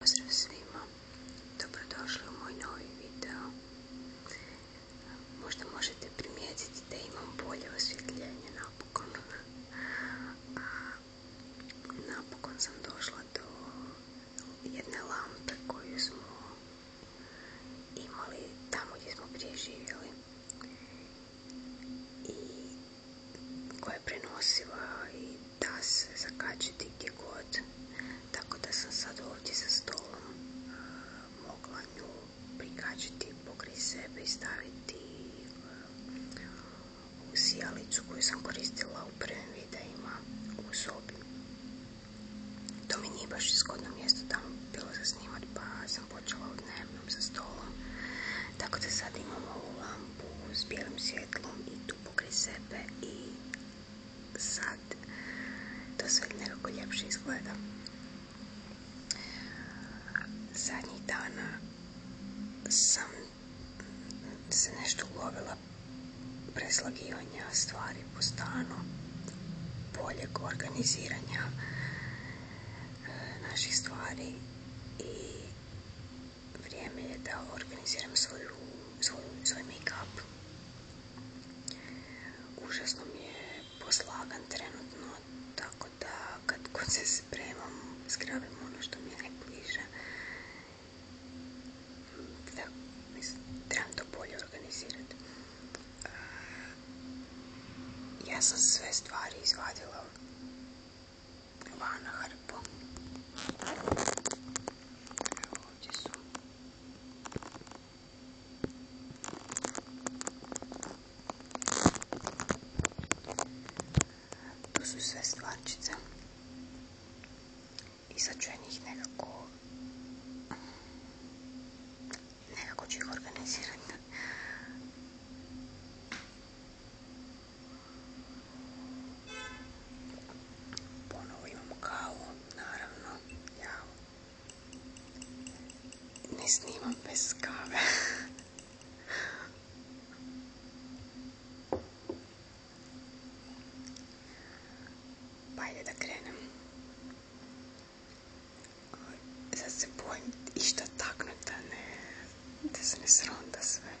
Pozdrav svima, dobrodošli u moj novi video. Možda možete primijetiti da imam bolje osvjetljenje napokon. napokon sam došla do jedne lampe koju smo imali tamo gdje smo prije živjeli. I koja je prenosiva i da se zakačiti gdje god, tako da sam sad ovdje za stolom e, mogla nju prikačiti pokrij sebe i staviti e, u koju sam koristila u prvim videima u sobi. To mi nije baš zgodno mjesto tamo bilo za snimat, pa sam počela u dnevnom za stolom. Tako da sad imam ovu u s bijelim svjetlom i tu pokri sebe i sad to sve nekako ljepše izgleda. Zadnjih dana sam se nešto ulovila preslagivanja stvari po stanu, boljeg organiziranja e, naših stvari i vrijeme je da organiziram svoj make-up. Užasno mi je poslagan trenutno, tako da kad god se spremam, skravim ono što mi je najbliže. mislim, trebam to bolje organizirati. E, ja sam sve stvari izvadila Ванна по Родису. Tu su sve stvarčice i sad ću ja njih nekako nekako ću ih organizirati Ponovo imam kavu, naravno, ja. Ne snimam bez kave. se bojim išta taknuti da ne da se ne sronda sve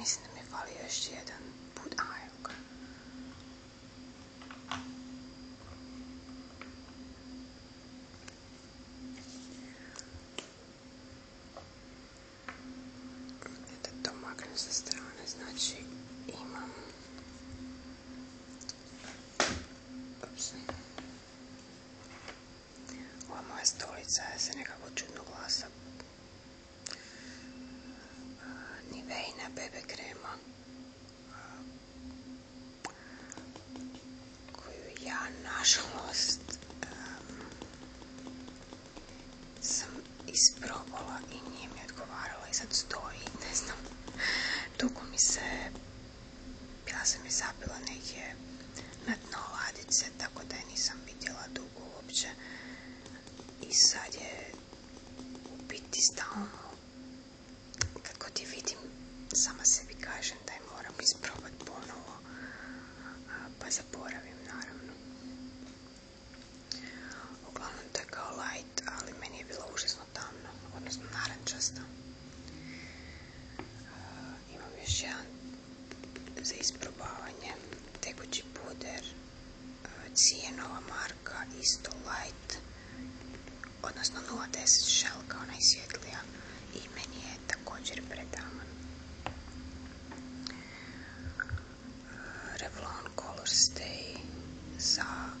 Myslím, mi valí ešte jeden budajok. Ja to domaknem sa strany, znači imam Ups. Ova moja stolica se nekako čudno glasa. Niveina bebe krema koju ja nažalost sam isprobala i nije mi odgovarala i sad stoji, ne znam Dugo mi se, bila sam je neke negdje na ladice, tako da je nisam vidjela dugo uopće. I sad je u biti stalno, kad god je vidim, sama sebi kažem da je moram isprobati ponovo, pa zaboravim naravno. kao ali meni je bilo užasno tamno, odnosno narančasto. imam još jedan za isprobavanje, tekući puder, cijenova marka, isto light, odnosno 0.10 shell kao najsvjetlija i meni je također predaman. Revlon Color Stay za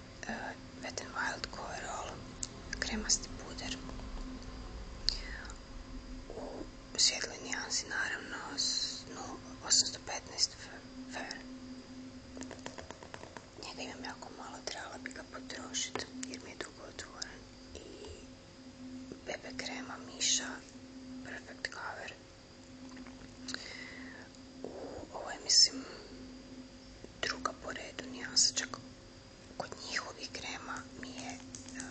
Wet n Wild All kremasti puder u svjetloj nijansi naravno 815 Fair njega imam jako malo, trebala bi ga potrošiti jer mi je dugo otvoren i BB krema Miša Perfect Cover u ovoj mislim druga po redu čak kod njihovih krema mi je eh,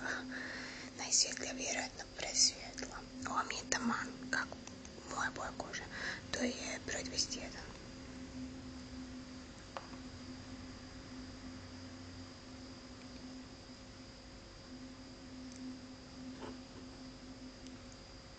najsvjetlija vjerojatno presvjetla. Ova mi je taman, kako moja boja kože. To je broj 21.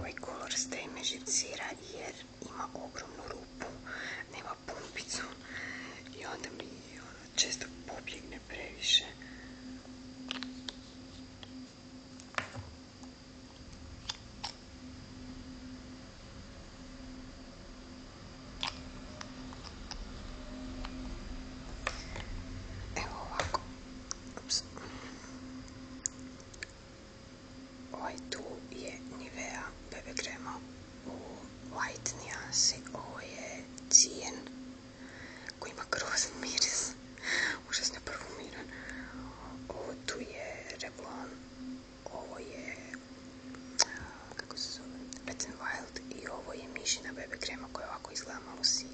Ovaj kolor staje me jer ima ogromnu rupu, nema pumpicu i onda mi ono, često pobjegne previše. Evo Ovaj tu je Nivea bebe krema u light nijansi. Ovo je cijen koji ima grozan miris. Užasno parfumiran. Ovo tu je Reblon, Ovo je kako se zove, Wild i ovo je mišina bebe krema koja ovako izgleda malo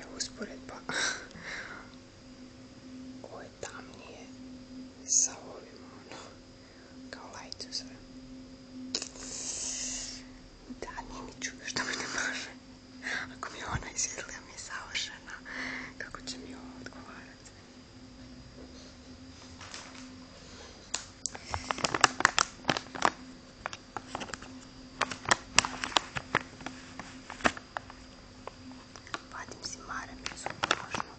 Evo usporedba. Ovo je tamnije sa ovim, ono, kao lajcu sve. Da, nije što ne može. Ako mi je ona izgleda mi je savršena, kako će mi ovo odgovarati? Vadim si maramicu, možno.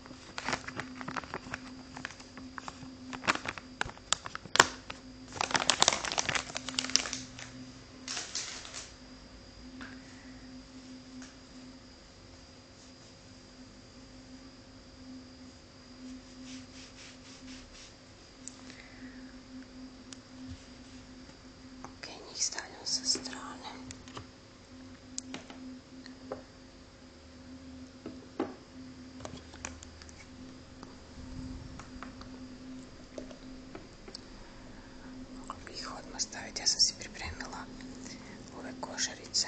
Ok, njih stavljam sa strane. Mogla bi ih odmah staviti, ja sam se pripremila ove košarice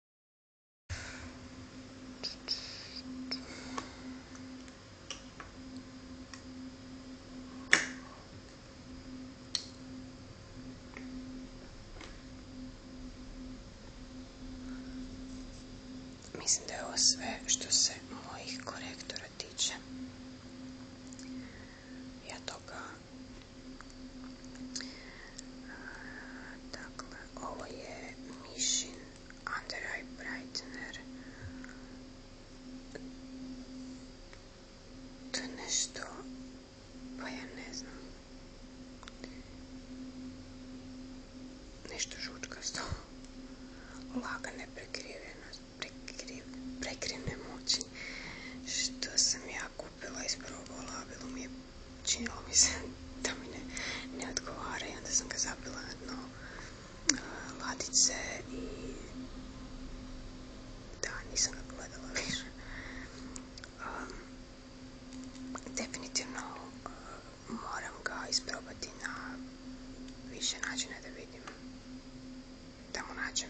Mislim da je ovo sve što se mojih korektora tiče. Ja toga Dakle, ovo je Mišin Under Eye Brightener. To je nešto, pa ja ne znam. Nešto žučkasto. Lagane prekrivene moći. Što sam jako kupila, isprobala, bilo mi je, činilo mi se da mi ne, odgovara i onda sam ga zapila na dno ladice i da, nisam ga gledala više. definitivno moram ga isprobati na više načina da vidim da mu nađem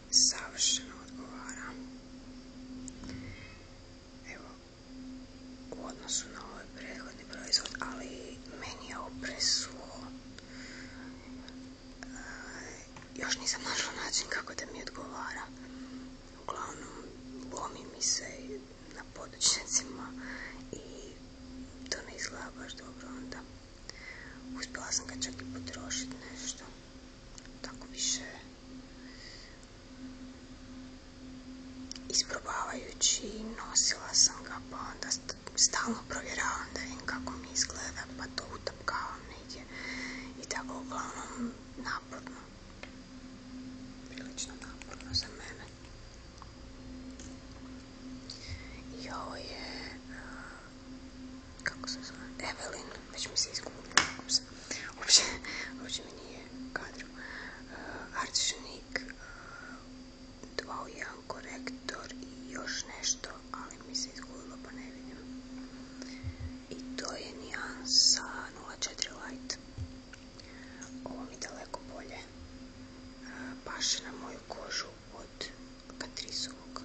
savršeno odgovara. Evo, u odnosu na ovaj prethodni proizvod, ali meni je ovo presuho. E, još nisam našla način kako da mi odgovara. Uglavnom, lomi mi se na podočnicima i to ne izgleda baš dobro onda. Uspjela sam ga čak i potrošiti nešto tako više isprobavajući nosila sam ga pa onda stalno provjeravam da vidim kako mi izgleda pa to utapkavam negdje i tako uglavnom naporno prilično naporno za mene i ovo je kako se zove, Evelyn, već mi se izgubila, uopće, uopće mi nije kadro. uh, 2 uh, 2 korektor i još nešto, ali mi se izgubilo pa ne vidim. I to je nijan sa 04 light. Ovo mi daleko bolje paše uh, na moju kožu od Katrisovog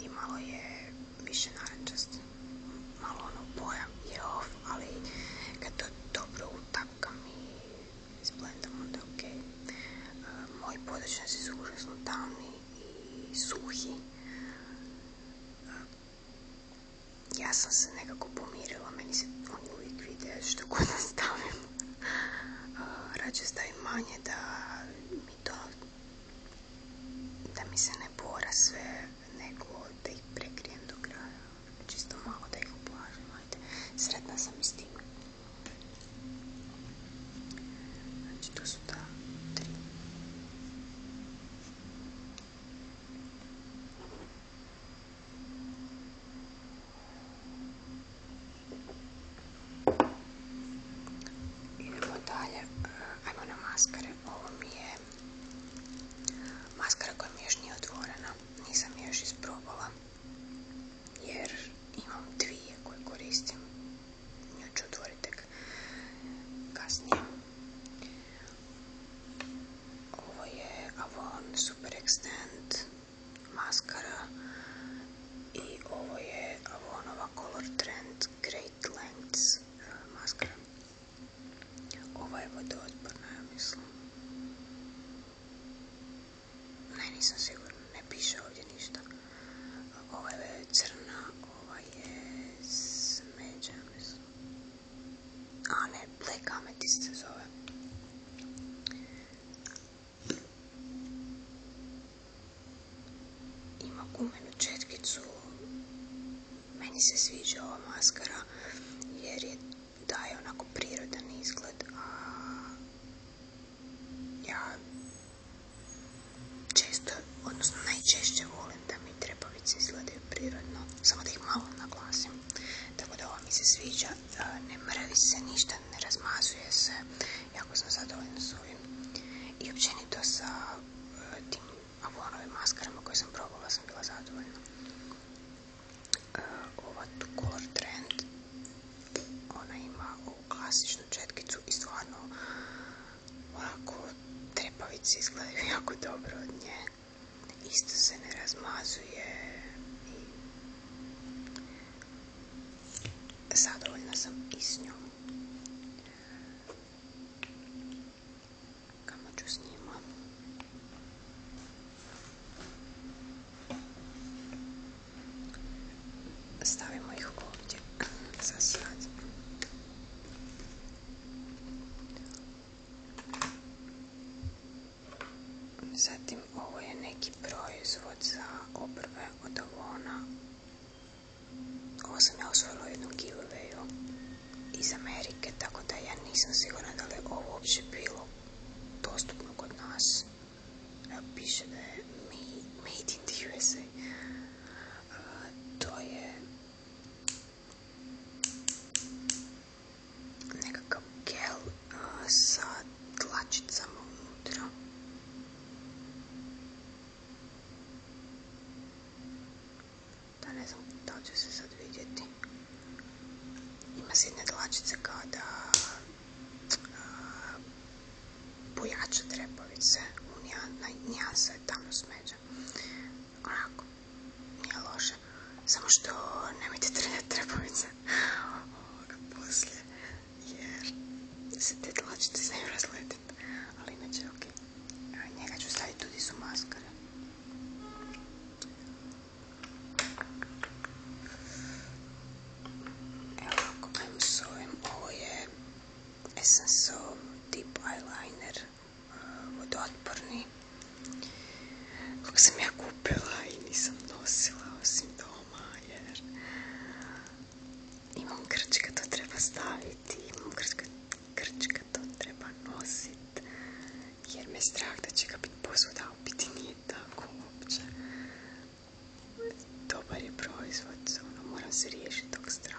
i malo je više narančast. Malo ono boja je off, ali kad to dobro utapkam i splendam, onda ok. okej. E, moji podrečnici su užasno tamni i suhi. E, ja sam se nekako pomirila, meni se oni uvijek vide što god nastavim e, Rađe manje da mi to da mi se ne bora sve, nego da ih prekrijem do kraja, čisto malo da ih ublažim, ajde, sretna sam i s tim. Znači, to su ta tri. Idemo dalje, ajmo na maskare ovo mi je maskara koja mi još nije otvorena, nisam je još isprobala jer imam dvije koje koristim, nju ću otvoriti kasnije. Ovo je Avon Super Extend maskara i ovo je Avonova Color Trend Fit Lens eh, maskara. Ova je vodootporna, ja mislim. Ne, nisam sigurna, ne piše ovdje ništa. Ova je crna, ova je smeđa, mislim. A ne, Black Amethyst se zove ima gumenu četkicu. Meni se sviđa ova maskara jer je daje onako prirodan izgled, a ja često, odnosno najčešće volim da mi trepavice izgledaju prirodno, samo da ih malo naglasim. Tako da ova mi se sviđa, ne mrvi se ništa, ne razmazuje se, jako sam zadovoljna s ovim. I općenito sa e, tim a u onoj maskarama koje sam probala sam bila zadovoljna. E, ova tu Color Trend, ona ima ovu klasičnu četkicu i stvarno ovako trepavice izgledaju jako dobro od nje. Isto se ne razmazuje i zadovoljna sam i s njom. Kamo ću s njima? Stavimo ih ovdje za sad. Zatim ovo je neki proizvod za obrve od ovona ovo sam ja osvojila u jednom giveawayu iz Amerike, tako da ja nisam sigurna da li je ovo uopće bilo dostupno kod nas. Evo piše da je made in the USA. to je nekakav gel sa tlačicama unutra. Da ne znam, da li će se sad vidjeti. Ima se jedne dlačice kao da pojača trepavice. Nijansa je tamno smeđa. Onako, nije loše. Samo što nemojte trenati trepovice ovoga poslije jer se te dlačice znaju razletiti. Ali inače, okej. A njega ću staviti tudi su maskare. Evo ako s ovim, ovo je Essence Deep Eyeliner, vodootporni. Eh, Kako sam ja kupila i nisam nosila osim doma jer imam krčka, to treba staviti, imam krčka to treba nositi, jer me strah da će ga biti biti nije tako uopće. Dobar je proizvod, ono, moram se riješiti tog straha.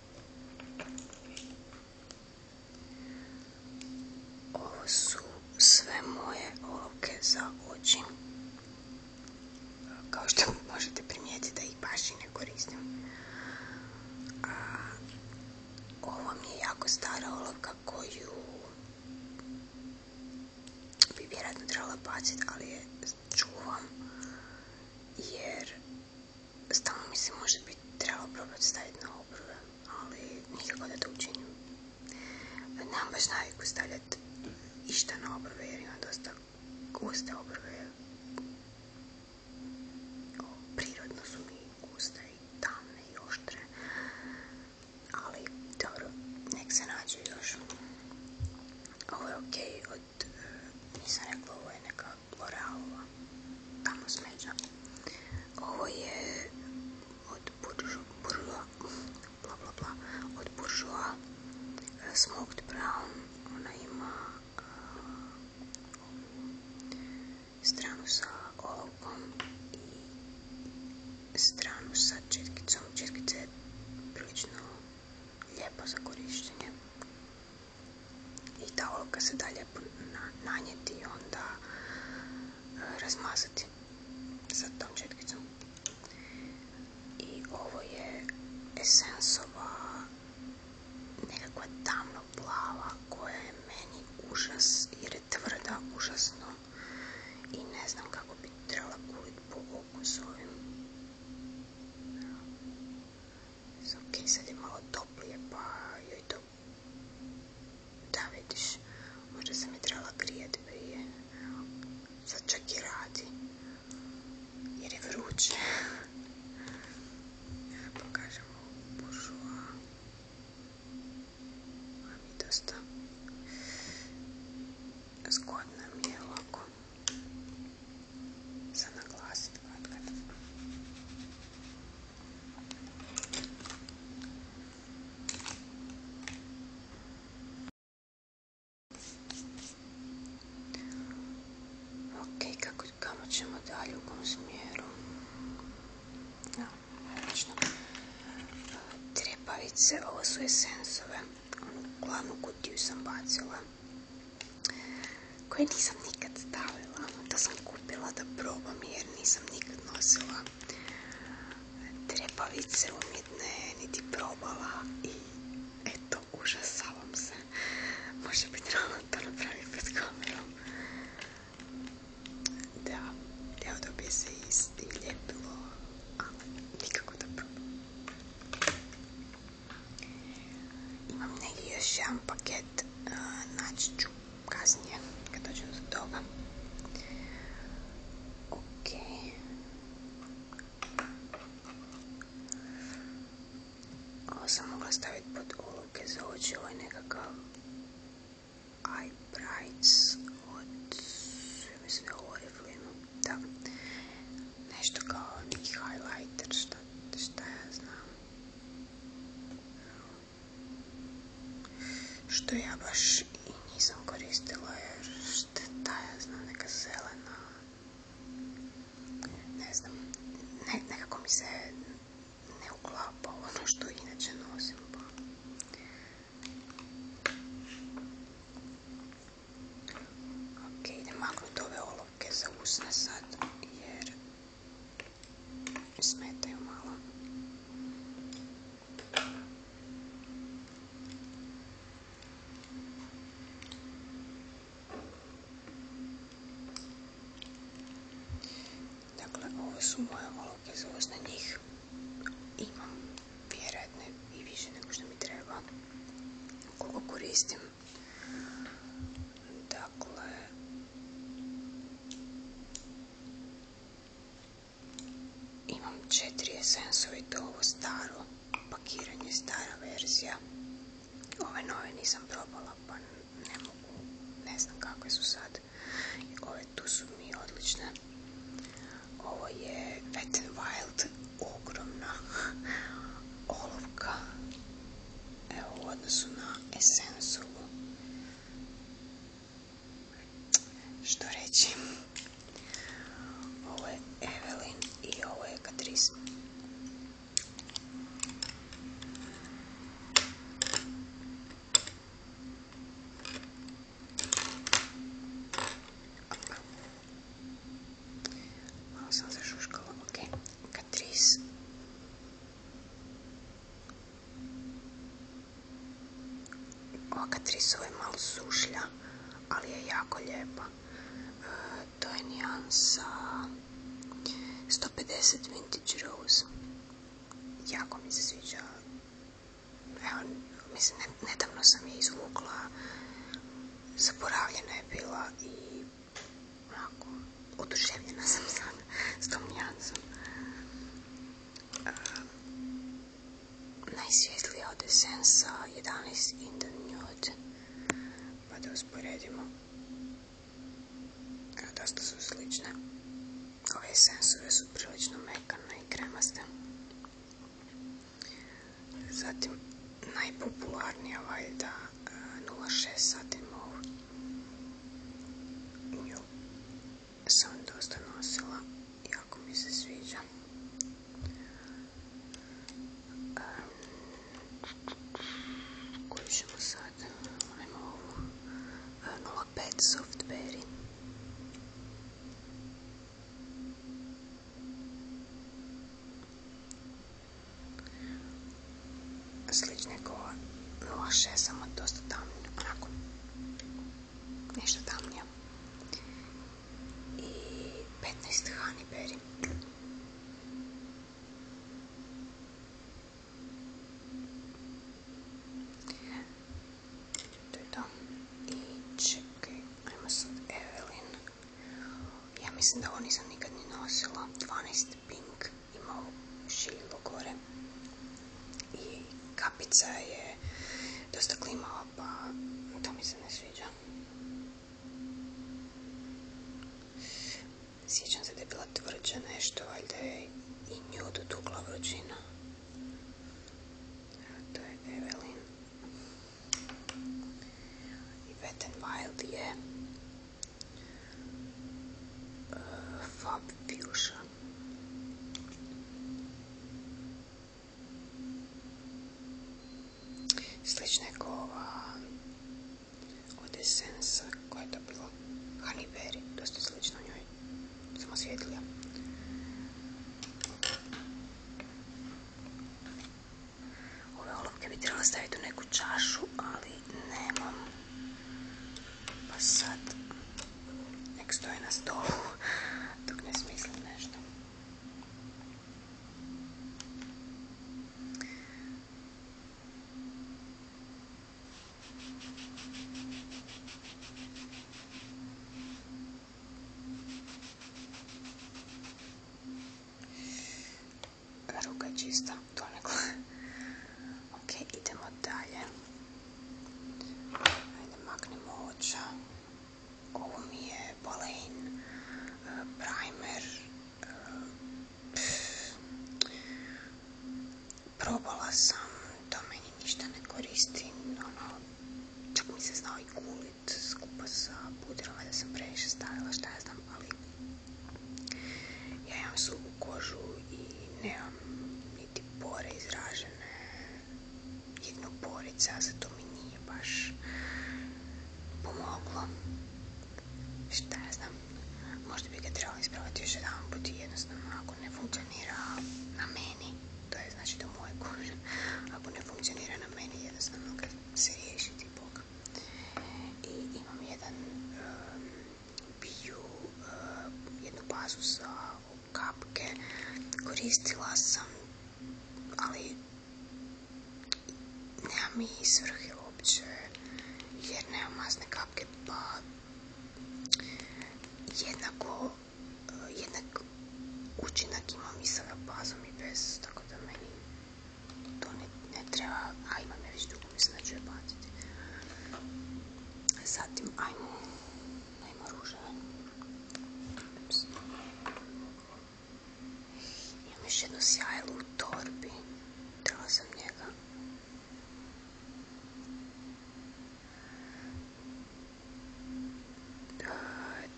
Ovo su sve moje olovke za oči. Kao što možete primijetiti da ih baš i ne koristim. A, ovo mi je jako stara olovka koju bi vjerojatno trebala baciti, ali je čuvam jer stalno mi se može biti trebalo probati staviti na obrve ali nikako da to učinim. Nemam baš naviku stavljati išta na obrve jer dosta guste obruve. O, prirodno su mi guste i tamne i oštre. Ali, dobro, nek se nađe još. Ovo je okej od, eh, nisam rekla, ovo je neka tamo smeđa. Ovo je od buržu bla od buržua, eh, smoked brown, ona ima eh, stranu sa olovkom i stranu sa četkicom, četkice je prilično lijepa za korištenje i ta olovka se dalje nanijeti i onda e, razmazati sa tom četkicom. I ovo je esensova nekakva tamno plava koja je meni užas jer je tvrda užasno i ne znam kako bi trebala kulit po oku Ok, sad je malo toplije, pa joj to... Da, vidiš, možda sam je trebala grijati prije. Sad čak i radi. Jer je vruće. Ja pokažem ovu dosta... Zgodna mi lako za naglasiti kad. Ok, kako, kamo ćemo dalje, u kom smjeru? Trepavice, ovo su esensove. Glavnu kutiju sam bacila koje nisam nikad stavila, da sam kupila da probam jer nisam nikad nosila trepavice umjetne, niti probala i eto, užasavam se. Možda bi trebalo to napraviti pred kamerom. Da, evo dobije se isti ljepilo, a nikako da probam. во многие шам пакет naći ću kasnije kad dođem ok ovo sam mogla pod oluke za oči ovo je brights od mislim da da nešto kao highlighter šta, šta ja znam što ja baš i nisam koristila jer šta ja znam, neka zelena, ne znam, nekako mi se ne uklapa ono što inače nosim. Pa. Ok, idem maknuti ove olo olovke za usne sad jer smetaju malo. Dakle, ovo su moje olovke za usne njih. Imam vjerojatno i više nego što mi treba. Koliko koristim Dakle, imam četiri esensovi, to ovo staro pakiranje, stara verzija. Ove nove nisam probala, pa ne mogu, ne znam kakve su sad. Ove tu su mi odlične. Ovo je Wet Wild, ogromna olovka evo, u odnosu na esensu što reći ovo je Evelyn i ovo je Catrice Malo sam zašuškala, ok. Catrice. Ova Catrice je malo sušlja, ali je jako lijepa. E, to je nijansa 150 Vintage Rose. Jako mi se sviđa. Evo, nedavno sam je izvukla. Zaboravljena je bila i Ovako, oduševljena sam sad s tom nijansom. Um, od Essensa 11 in the nude. Pa da usporedimo. dosta su slične. Ove Essensove su prilično mekane i kremaste. Zatim, najpopularnija valjda 0,6 sati mogu. Nju sam dosta nosila, jako mi se sviđa. Koju ćemo sad? Ajmo ovu. 0,5 softberry. Slične kova kao 06, samo dosta tamnija, onako, nešto tamnija. I 15 honey berry. To je to. I čekaj, ajmo sad Evelyn. Ja mislim da ovo nisam nikad ni nosila. 12 Pink imao šiljilo gore i kapica je dosta klimala pa to mi se ne sviđa. Sjećam se da je bila tvrđa nešto, valjda je i nju dotukla vrućina. To je Evelyn. I Wet n Wild je Fab Fuchsia. Slična je kova od Essensa koja to bila Honey Berry, slično njoj, samo svjetlija. Ove olovke bi trebala staviti u neku čašu, ali nemam. Pa sad nek stoje na stolu dok ne smislim nešto ruka je čista, ok, idemo dalje. Ajde, maknemo oča. Ovo mi je Balein e, primer. E, probala sam, to meni ništa ne koristi. Ono, čak mi se znao i gulit skupa sa pudrom da sam previše stavila šta ja znam, ali ja imam su kožu i nemam niti pore izražene. Jednog porica, zato mi nije baš pomoglo. Šta ja znam, možda bi ga trebalo ispravati još jedan put jednostavno ako ne funkcionira na meni, to je znači do moje kože, ako ne funkcionira na meni jednostavno ga se riješiti i imam jedan um, bio uh, jednu bazu za kapke. Koristila sam, ali nema mi svrhe uopće jer nema masne kapke pa jednako uh, jednak učinak imam i sa bazom i bez tako da meni to ne, ne treba, a imam je već dugo, mislim da ću je Zatim, ajmo, ajmo ruževe. Imam još jedno sjajlo u torbi. Trebala sam njega.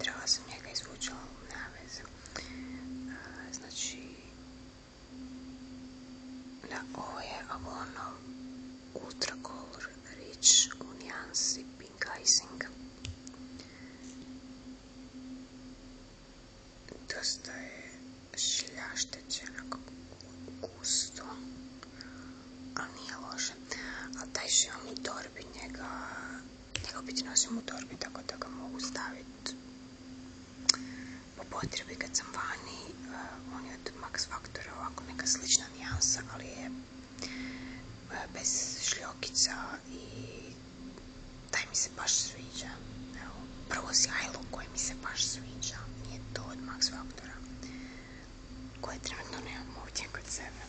Trebala sam njega izvući, ali nema veze. Znači, da ovo je ono ultra rich u nijansi pink icing dosta je šljašteće gusto ali nije loše a taj što imam u torbi njega njega nosim u torbi tako da ga mogu staviti po potrebi kad sam vani, eh, on je od Max Factora ovako neka slična nijansa, ali je eh, bez šljokica i taj mi se baš sviđa. prvo sjajlo koje mi se baš sviđa, nije to od Max Faktora, koje trenutno nemam ovdje kod sebe.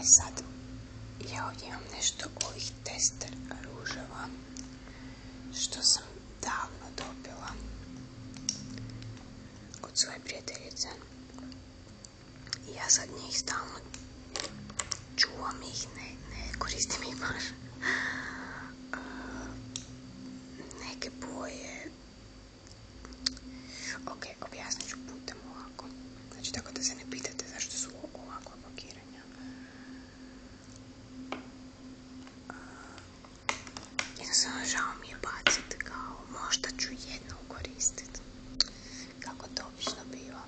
E sad, ja ovdje imam nešto ovih tester ružava, što sam davno dobila od svoje prijateljice. Ja sad njih stalno čuvam ih, ne, ne koristim ih baš. Neke boje. Ok, objasnit ću putem Znači, tako da se ne pitate zašto su ovakva blokiranja Jednostavno žao mi je baciti kao možda ću jedno koristiti. Kako to obično biva.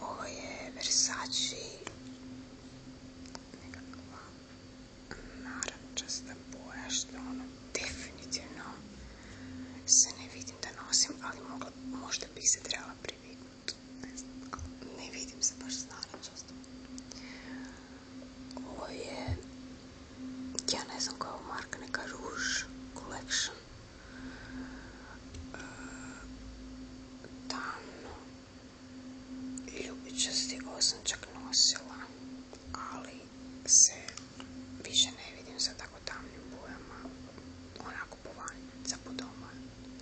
Ovo je Versace nekakva narančasta ono definitivno se ne vidim da nosim, ali mogla, možda bi se trebala priviknuti. Ne znam, ne vidim se baš znanačastom. Ovo je, ja ne znam koja je marka, neka Rouge Collection. Tamno. E, Ljubičasti osam čak nosila, ali se Više ne vidim sa tako tamnim bojama, onako po za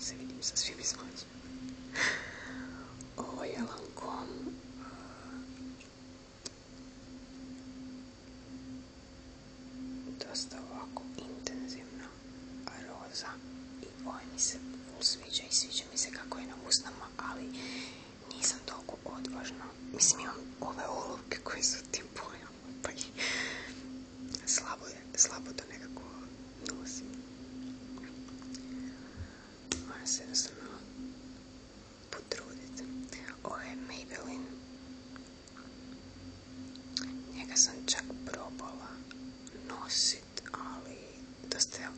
se vidim sa svim izglazima. Ovo je Lancome uh, dosta ovako intenzivna roza i ovo mi se sviđa i sviđa mi se kako je na usnama, ali nisam toliko odvažna. Mislim imam ove olovke koje su tim Slabo, slabo to nekako nosim. Moram se jednostavno potruditi. Ovo je Maybelline. Njega sam čak probala nosit, ali dosta je,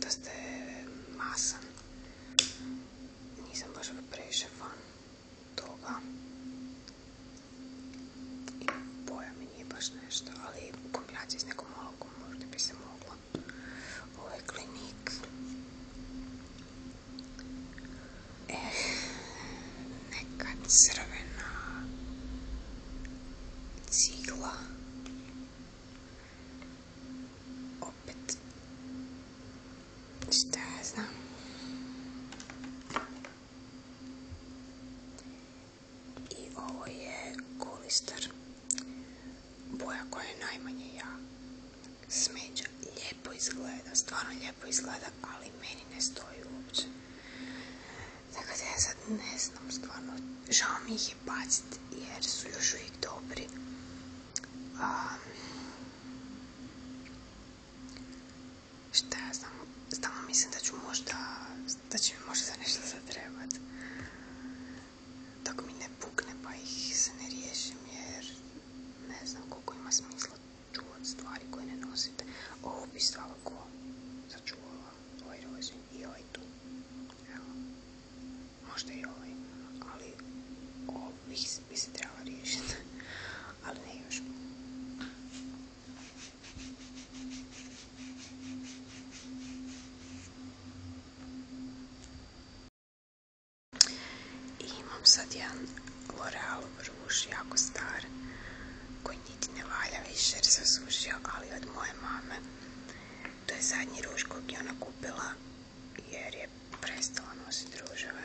dosta masan. Nisam baš previše toga. I boja mi nije baš nešto, ali u s nekom mogu, možda bi se mogla. Ovo je klinik. E, neka crvena cigla. Opet Šta ja znam? I ovo je kolistar. Boja koja je najmanje ja. Smeđa. Lijepo izgleda. Stvarno lijepo izgleda, ali meni ne stoji uopće. Dakle, ja sad ne znam stvarno. Žao mi ih je baciti jer su još uvijek dobri. Šta ja znam, stalno mislim da ću možda, da će mi možda za nešto zatrebat. Dok mi ne pukne pa ih se ne riješim jer ne znam koliko ima smisla čuvat stvari koje ne nosite. Ovo bi svakako začuvala, ovaj i ovaj tu. Evo, možda i ovaj, ali ovo bi se trebala riješiti ali ne I imam sad jedan L'Oreal ruž, jako star, koji niti ne valja više jer se ali od moje mame. To je zadnji ruž koji ona kupila jer je prestala nositi ruževe.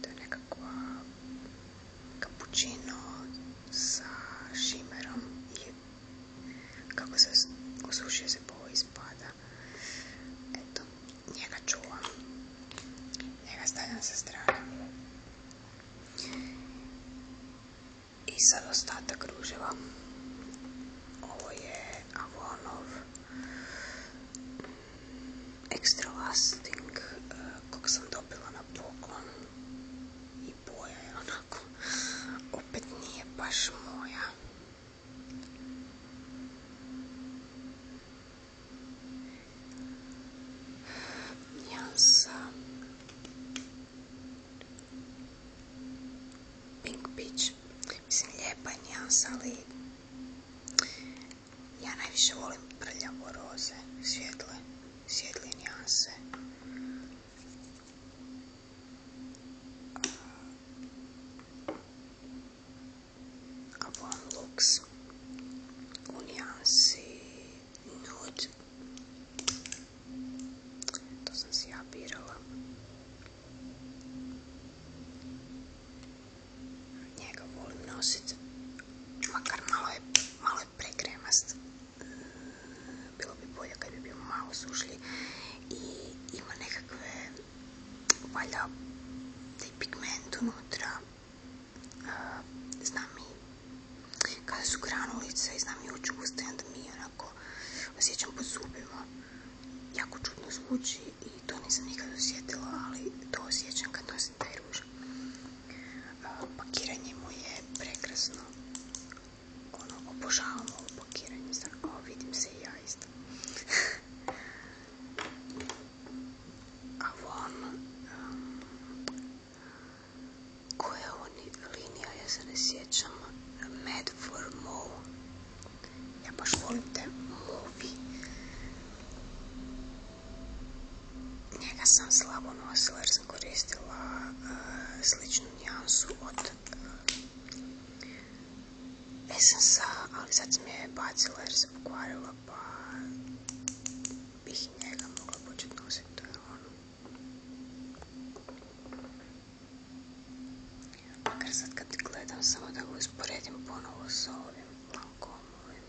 To je nekakva cappuccino sa šimerom i kako se osušio se boji ispada. Eto, njega čuvam. Njega stavljam sa strane. I sad ostatak kruževa. Ovo je Avonov Extra Lasting eh, kog sam dobila na poklon i boja je onako opet nije baš moja nijansa Pink Peach mislim lijepa je nijansa ali Ja najviše volim prljavo roze, svjetle, svjetlije A volim luks u nijansi nude. To sam si ja birala. Njega volim nositi. Makar malo je, malo Bilo bi bolje kad bi bio malo sušlji. I ima nekakve valjda taj pigment unutra. Znam i kada su granulice i znam i ući usta onda mi onako osjećam posubilo Jako čudno zvuči i to nisam nikad osjetila, ali to osjećam kad nosim taj ruž. Pakiranje mu je prekrasno. Ono, obožavam ovo pakiranje. Sad, vidim se i ja isto. Avon, um, koja je ovo linija, ja se ne sjećam, for ja baš volim te movie. Njega sam slabo nosila jer sam koristila eh, sličnu nijansu od uh, Essensa, ali sad mi je bacila jer sam pokvarila pa bih njega mogla početi nositi, to je ono. Makar kad gledam samo da ga usporedim ponovo sa ovim, comune.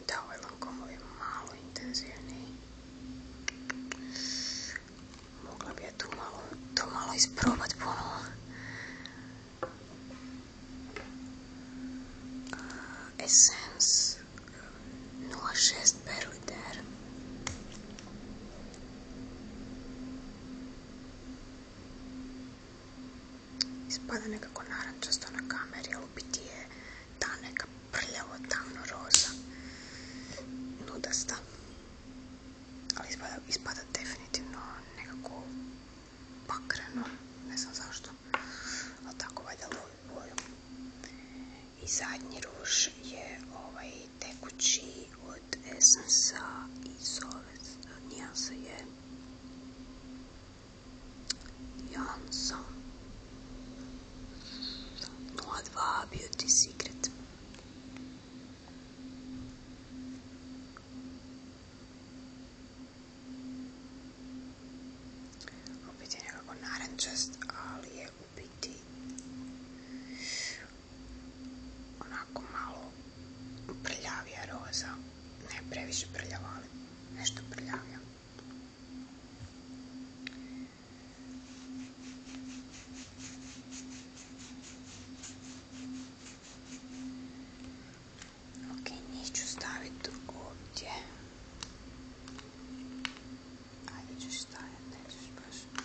Então, o elancomo je malo intenzivniji. Mogla bi ja malo, to malo isprobat ponovo. Essence 06 eh, per Ispada nekako narančasto na kameri, ali u biti je ta neka prljavo tamno roza, nudasta. Ali ispada, definitivno nekako pakreno, ne znam zašto, ali tako valjda lovi boju i zadnji ruž je ovaj tekući od esensa i zove nijansa je Janson 02 Beauty Secret opet je nekako narančast ali je biti onako malo prljavija roza, ne previše prljava, ali nešto prljavija. Ok, njih ću staviti ovdje. Ajde ćeš staviti, nećeš baš.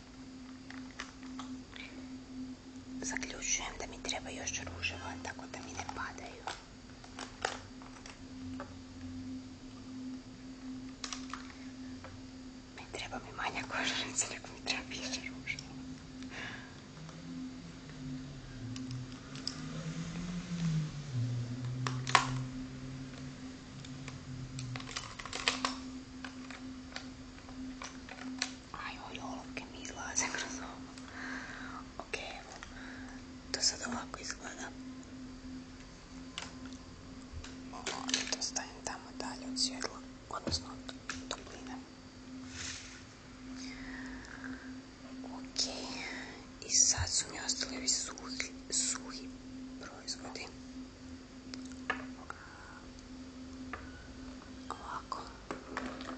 Zaključujem da mi treba još ruževa, tako da mi ne padaju. Mi treba mi manja kožarnica, nego mi treba više ruževa. Aj, oj, olovke mi izlaze kroz ovo. Ok, evo. To sad ovako izgleda. To stavim tamo dalje od svjetla, odnosno od topline. Ok, i sad su mi ostali ovi suhi, suhi proizvodi ovako njih,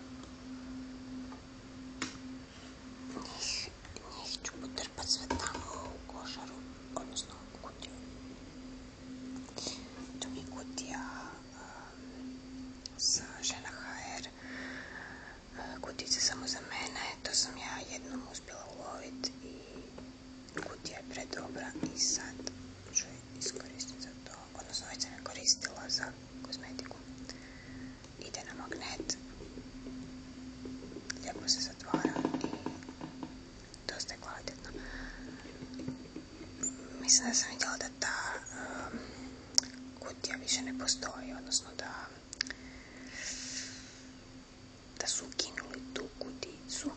ću potrpat sve tamo u košaru odnosno u kutiju to mi je kutija um, sa žena HR kutice samo za mene to sam ja jednom uspjela uloviti i Kutija je predobra i sad ću je za to, odnosno već sam je koristila za kozmetiku. Ide na magnet, lijepo se zatvara i dosta je kvalitetno. Mislim da sam da ta um, kutija više ne postoji, odnosno da da su ukinuli tu kuticu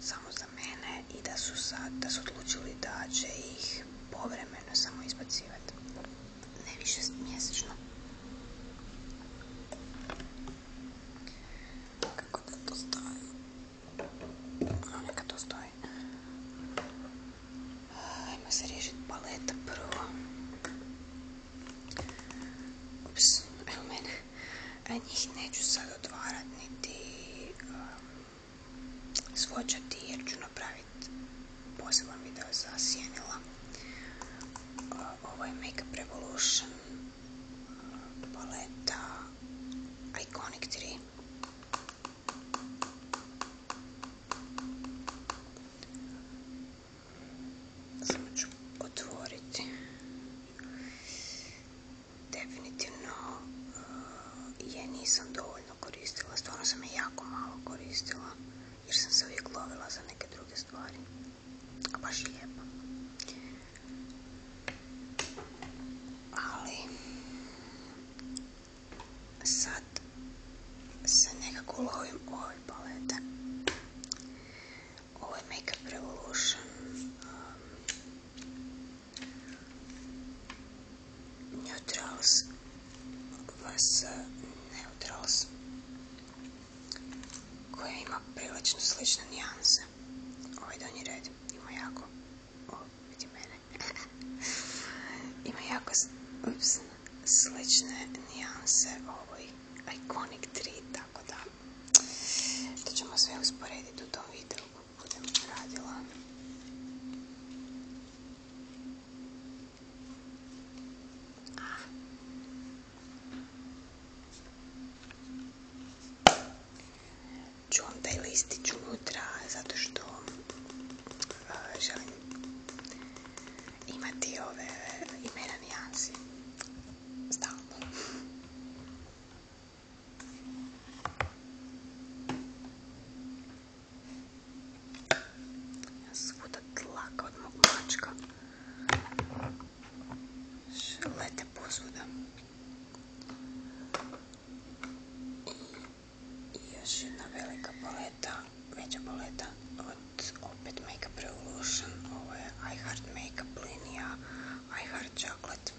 samo za mene i da su sad, da su odlučili da će ih povremeno samo izbacivati. Ne više mjesečno. Kako da to stoji? No, neka to stoji. Ajmo se riješiti paleta prvo. Ups, evo mene. Njih neću sad odvarati, niti um, svočati jer ću napraviti poseban video za Sjenila. Uh, ovo je Makeup Revolution uh, paleta Iconic 3. Samo ću otvoriti definitivno eh, je nisam dovoljno koristila, stvarno sam je jako malo koristila jer sam se uvijek lovila za neke druge stvari, a baš je lijepa. Ali sad se nekako lovim ove palete ovo je Makeup Revolution. Um, neutrals. Vas Neutrals. Koja ima prilično slične nijanse. Ovaj donji red. Ima jako... O, vidi mene. ima jako... Ups, slične nijanse ovoj Iconic Trita tako da to ćemo sve usporediti u tom videu kako budem radila. Čuvam taj listić unutra zato što e, želim imati ove imena nijansi stalno. Ja svuda tlaka od mog mačka. Lete posvuda. I još jedna velika poleta, veća poleta od opet Makeup Revolution. Ovo je I Makeup linija, I Chocolate život.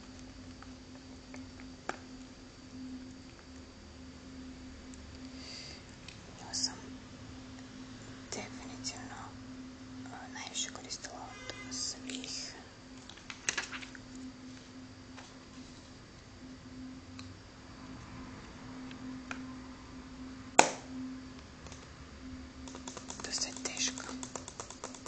Ja sam definitivno najviše koristila od svih dosta je teško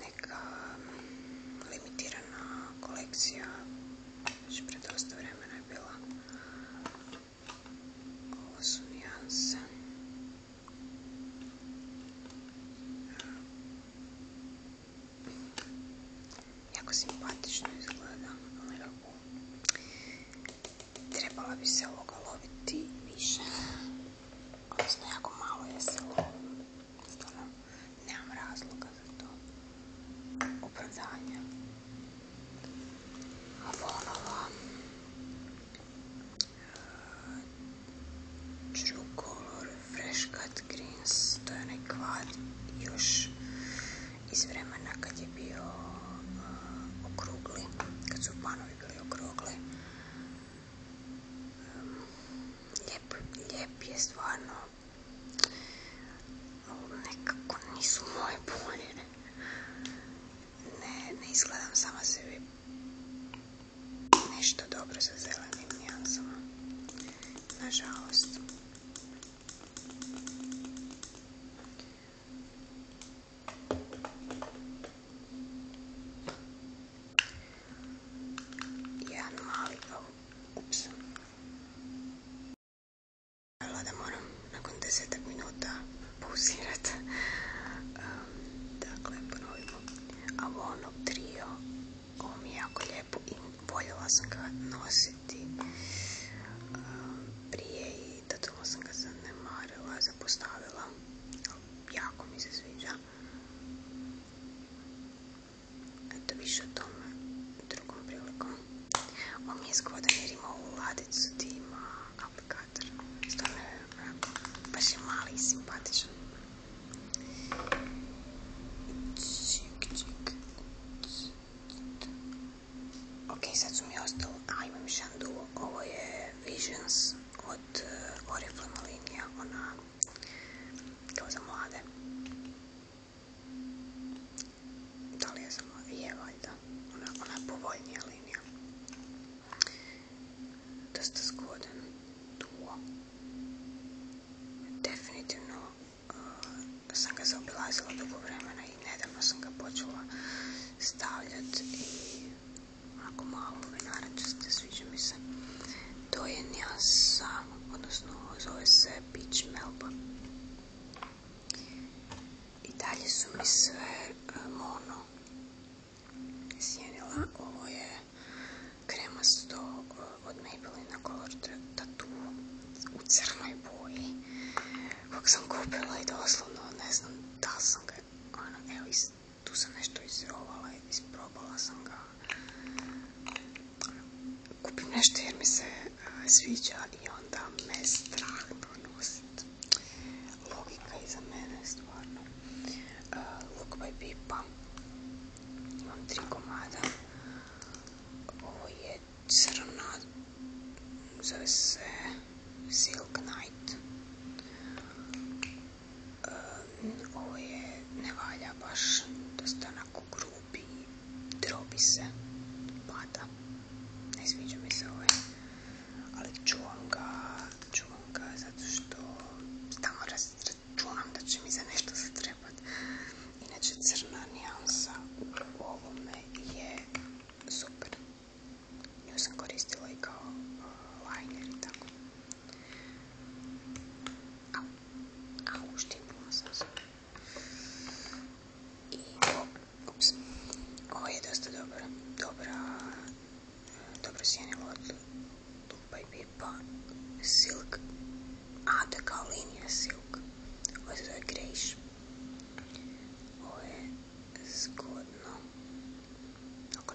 neka um, limitirana kolekcija, već pre dosta vremena je bila. Ovo su nijanse. Jako simpatično izgleda, ali trebala bi se ovoga loviti više odnosno jako malo je silo. Stvarno, nemam razloga za to. Opravdanje. Volala True Color Fresh Cut Greens, to je onaj kvad još iz vremena kad je bio uh, okrugli, kad su panovi bili okrugli Lijep, je stvarno. Nekako nisu moje boje. Ne, ne izgledam sama sebi nešto dobro sa zelenim nijansama. Nažalost. Jedan mali, ups. da moram nakon desetak minuta pauzirat. Um, dakle, ponovimo. Avonov trio. Ovo mi je jako lijepo i voljela sam ga nositi um, prije i totalno sam ga zanemarila, zapostavila jako mi se sviđa. Eto više o tome drugom prilikom. On mi je zgodan jer ima ovu ladicu ima aplikator. Stvarno je baš je mali i simpatičan. Ok, sad su mi ostalo, a imam još jedan duo, ovo je Visions od eh, Oriflama linija, eh, ona kao za mlade. Da li je za mlade? Je valjda. Ona, ona je povoljnija linija. Dosta zgodan duo. Definitivno uh, eh, sam ga zaobilazila dugo vremena i nedavno sam Ako malo sviđa mi se. To je nijansa, odnosno zove se Peach Melba. I dalje su mi sve mono e, Jenila. Ovo je kremasto e, od na Color Tattoo u crnoj boji. Kako sam kupila i doslovno ne znam da sam ga, ono, tu sam nešto izrovala, isprobala sam ga. Kupim nešto jer mi se eh, sviđa i onda me strah pronositi. Logika iza mene, stvarno. Uh, Look by Pipa. Imam tri komada. Ovo je crna, zove se Silk Night. Ehm, ovo je, ne valja baš, dosta onako grubi, drobi se, pada. Ne sviđa mi se ovaj, ali čuvam ga, čuvam ga zato što stalno da će mi za nešto trebati, Inače crna nijansa u ovome je super. Nju sam koristila i kao uh, i tako. Au, au, štipnula sam se. I, ups, ovo je dosta dobra, dobra, dobro sjenilo od Lupa i Pipa, Silk, a da kao linija Silk, ovo se zove Grejš. Ovo je zgodno, ako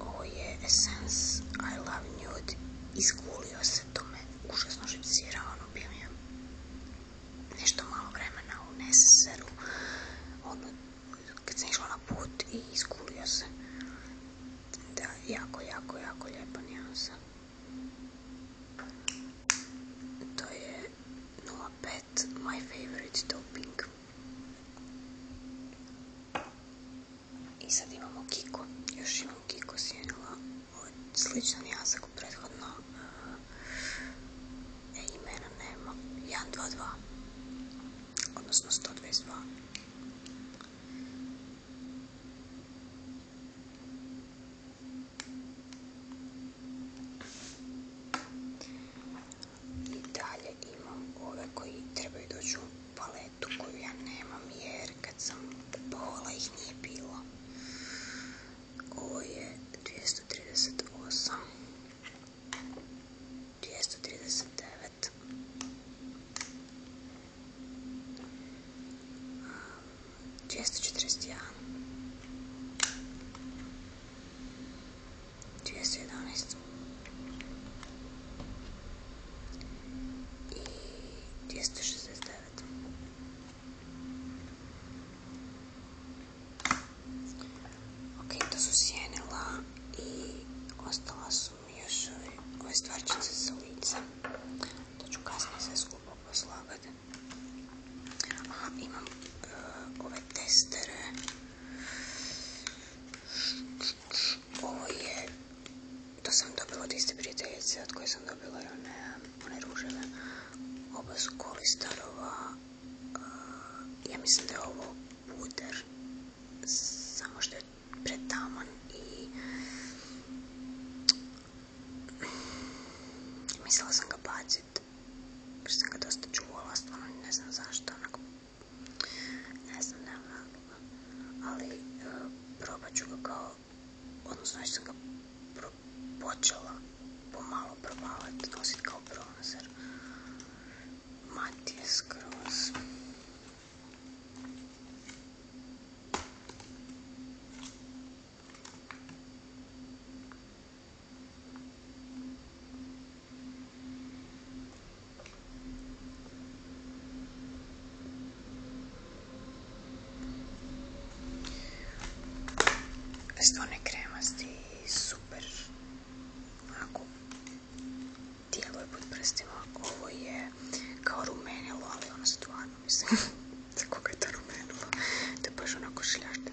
Ovo je Essence I Love Nude. Iskulio se to me užasno žipsira, ono bio mi nešto malo vremena u neseru, ono, kad sam išla na put i iskulio se. Da, jako, jako, jako lijepa nijansa. To je 05 My Favorite Topping. I sad imamo Kiko. Još imam Kiko sjenila. Sličan jasak prethodno. E, imena nema. 122. Odnosno 122. I dalje imam ove koji trebaju doći u paletu koju ja nemam jer kad sam kupovala ih nije bilo. Ovo je 238, 239, dvjesto 211 i 269 ok, to su sjenila i ostala su mi još ove stvarčice sa lica to ću kasnije sve skupo poslagati imam eh, ove testere. Ovo je, to sam dobila od iste prijateljice od koje sam dobila one, one Oba su kolistarova. Eh, ja mislim da je ovo puder. Samo što je pretaman i mislila sam ga baciti nosit, jer sam ga dosta čuvala, stvarno ne znam zašto, ne znam, nemam ali e, probat ću ga kao, odnosno već sam ga pro, počela pomalo probavati, nosit kao bronzer, mat Cross. Stone kremasti i super onako djeluje pod prstima. Ovo je kao rumenilo, ali ono stvarno mislim da koga je to rumenilo. To je baš onako šljašte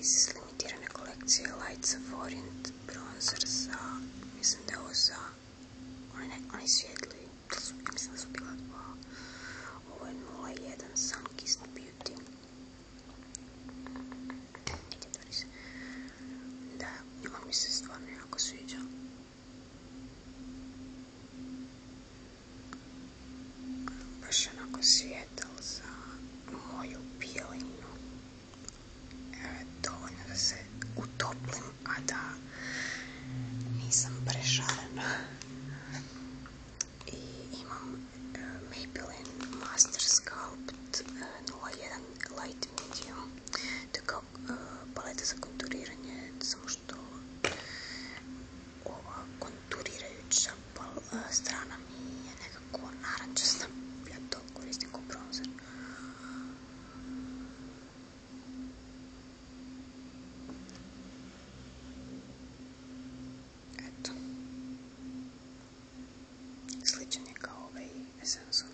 iz limitirane kolekcije Lights of Orient bronzer sa, mislim da je ovo za, onaj, onaj svijetli, da su, mislim da su bila dva, ovo je 01 Sunkist Beauty. Da, on mi se stvarno jako sviđa. Baš onako svijet. za moju pijelinu e, dovoljno da se utoplim a da nisam prešarena i imam e, Maybelline Master Sculpt 01 e, Light Medium to je kao e, paleta za konturiranje samo što ova konturirajuća strana mi je nekako narančasta, ja to koristim kao bronzer. Eto. Sličan je kao ovaj Essence.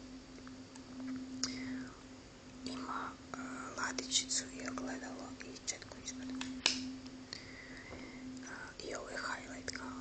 Ima e, ladičicu i ogledalo i četku ispred. E, I ovo je highlight kao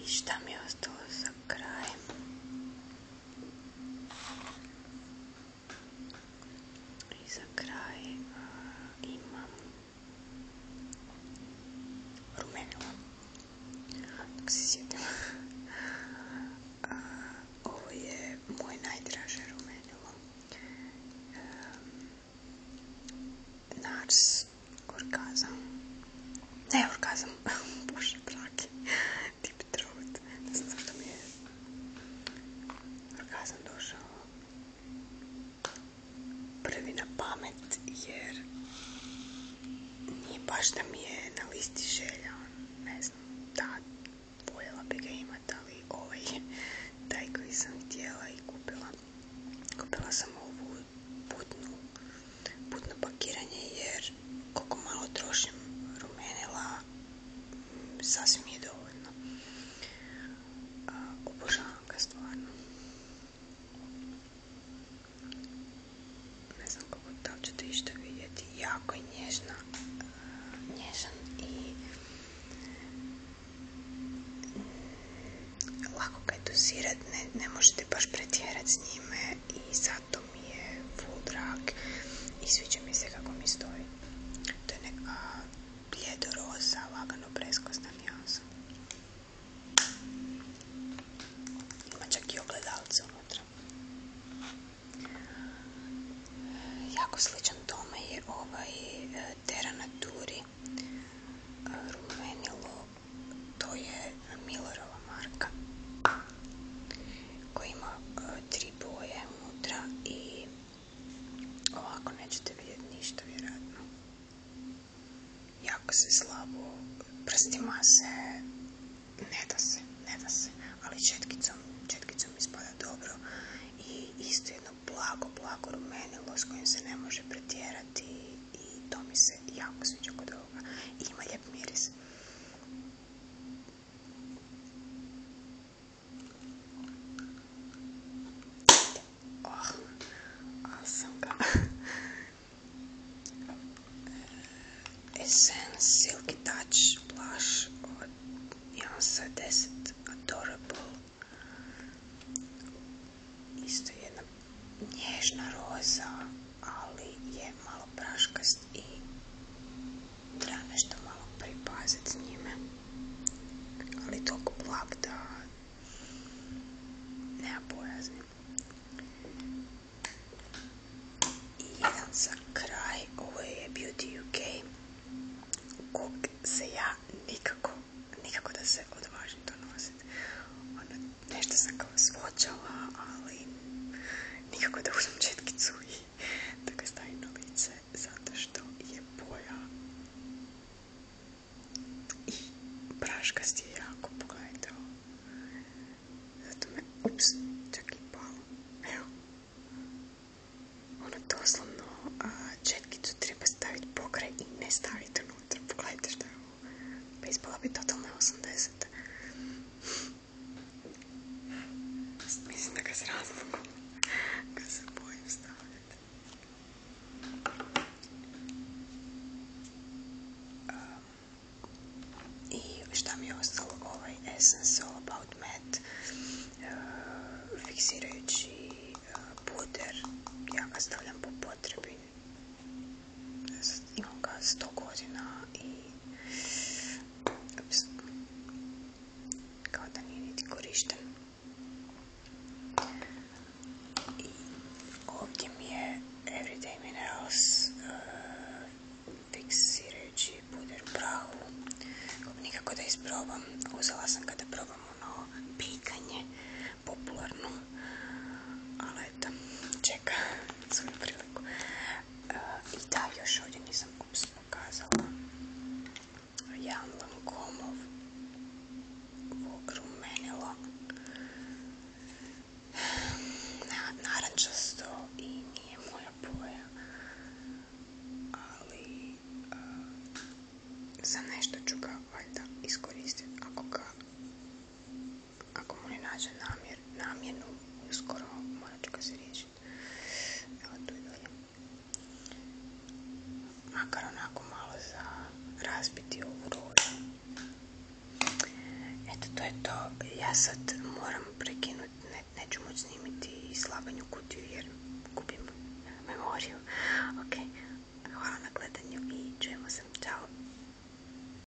I šta mi je ostalo za kraj? I za kraj imam rumenilo. Dok se sjetim. ovo je moje najdraže rumenilo. Um, ehm, Nars orgazam. Ne orkazam. bože praki. tip trud, ne znam zašto mi je došao prvi na pamet jer nije baš da mi je na listi želja, ne znam, da, voljela bi ga imat, ali ovaj taj koji sam htjela i kupila. Kupila sam ovu putnu put na pakiranje jer koliko malo trošim rumenila sasvim je dovoljno. Obožavam ga stvarno. Ne znam kako da ćete išta vidjeti. Jako je nježna, nježan i lako ga je dosirat, ne, ne možete baš pretjerat s njime i to mi je full drag mi se kako mi stoji. To je neka bljedo roza, lagano preskostan nijansa. Ima čak i ogledalce unutra. Jako sličan tome je ovaj eh, Terra Naturi eh, rumeni log to je Millerova marka koji ima e, tri boje unutra i ovako nećete vidjeti ništa vjerojatno. Jako se slabo, prstima se, ne da se, ne da se, ali četkicom, četkicom ispada dobro i isto jedno blago, blago rumenilo s kojim se ne može pretjerati i to mi se jako sviđa kod ovoga. I ima lijep miris. Oh, Essence Silky Touch Blush od Jansa 10 Adorable. Isto jedna nježna roza, ali je malo praškast i treba nešto malo pripaziti s njime. Ali toliko blag da nema bojazni. I jedan za kraj, ovo je Beauty UK, kog se ja nikako, nikako da se odvažim to nositi. Ono nešto sam kao svođala, ali nikako da uzmem četkicu i da ga stavim na lice, zato što je poja i si je jako pogledao. Zato me, ups, čak i palo. Evo. Ono doslovno a, četkicu treba staviti pokraj i ne staviti unutra. Pogledajte što je ovo. Pa ispala bi totalno 80. Mislim da ga se razlogom ga se bojim stavljati. Um, I šta mi je ostalo ovaj Essence All About Matte uh, fiksirajući uh, puder. Ja ga stavljam po potrebi, imam ga 100 godina i kao da nije niti korišten. I ovdje mi je Everyday Minerals eh, fiksirajući puder prahu. Nikako da isprobam. Uzela sam kada probamo probam ono pikanje popularno. Ali eto, čeka priliku. E, I da, još ovdje nisam uopstveno ja Jedan Lancomov rumenilo na, narančasto i nije moja boja. Ali e, za nešto ću ga valjda iskoristiti ako ga ako mu ne nađe namjenu, skoro morat ću ga se Evo tu i dolje. Makar onako malo za razbiti ovu rožu. Eto, to je to. Ja sad moram prekinuti, neću moći snimiti slabanju kutiju jer kupim memoriju. Ok, hvala na gledanju i čujemo se. Ćao!